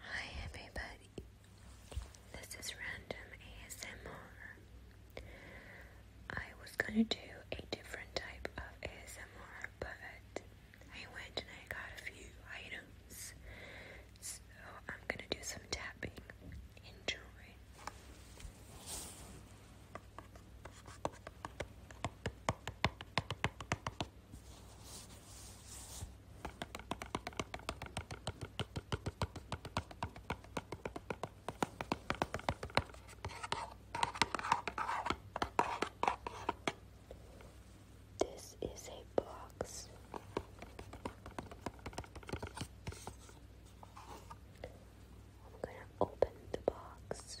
Hi everybody, this is Random ASMR. I was gonna do a different type of ASMR, but I went and I got a few items, so I'm gonna do some tapping. Enjoy. This is a box. I'm going to open the box.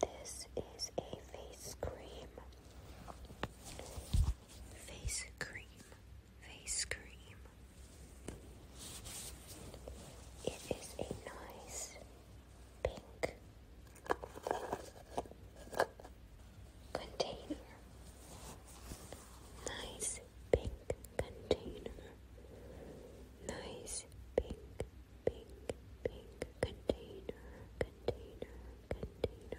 This is a face cream. Face cream face cream. It is a nice pink container. Nice pink container. Nice pink, pink, pink container, container, container.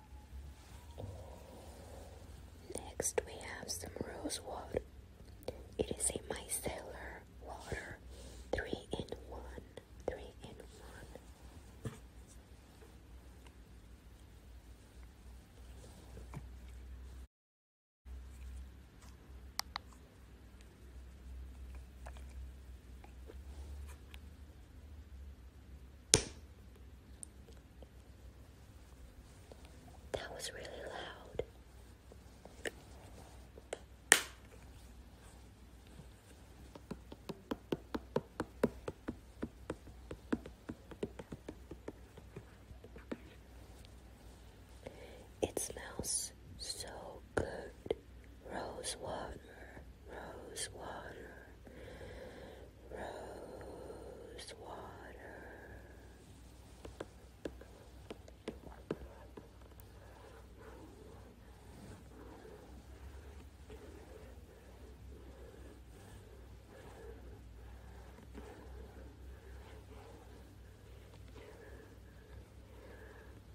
Next, we have some rose water. It is a micellar water, three in one, three in one. That was really loud. It smells so good. Rose water, rose water, rose water.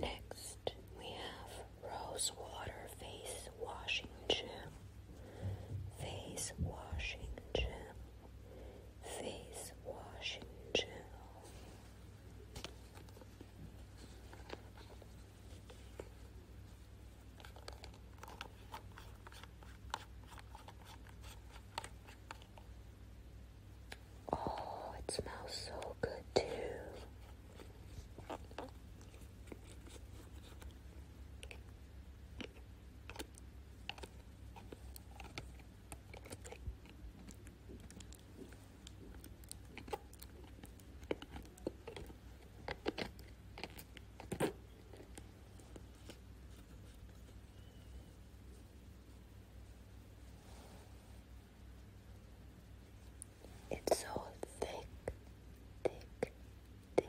Next, we have Rose Water Face Washing Gel. Face Washing Gel. Face Washing Gel. Oh, it smells so good too. It's so thick, thick, thick, thick, thick.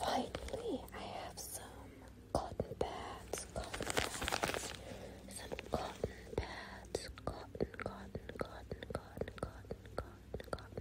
Finally, I have some cotton pads, cotton pads, some cotton pads, cotton, cotton, cotton, cotton, cotton, cotton, cotton.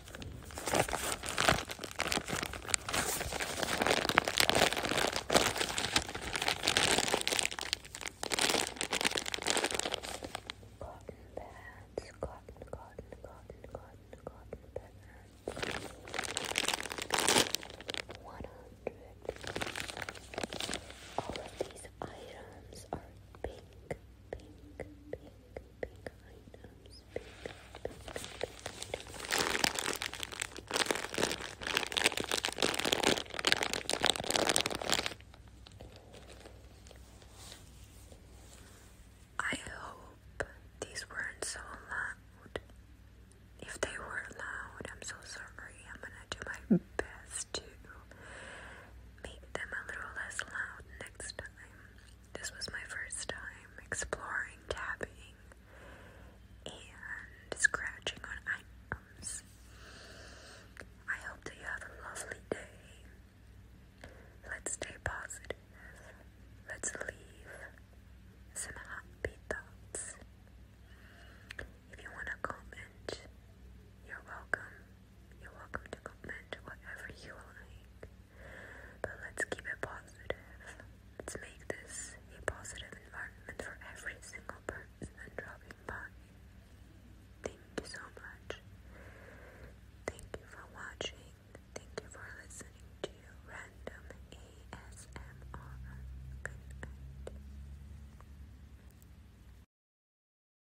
Cotton pads, cotton, cotton, cotton, cotton, cotton One hundred. All of these items are pink pink, pink I hope these weren't so loud. If they were loud, I'm so sorry. I'm gonna do my best to make them a little less loud next time. This was my first time exploring tapping and scratching on items. I hope that you have a lovely day. Let's stay positive. Let's leave some happy thoughts. If you want to comment, you're welcome. You're welcome to comment whatever you like. But let's keep it positive. Let's make this a positive environment for every single person dropping by. Thank you so much. Thank you for watching. Thank you for listening to Random ASMR. Good night.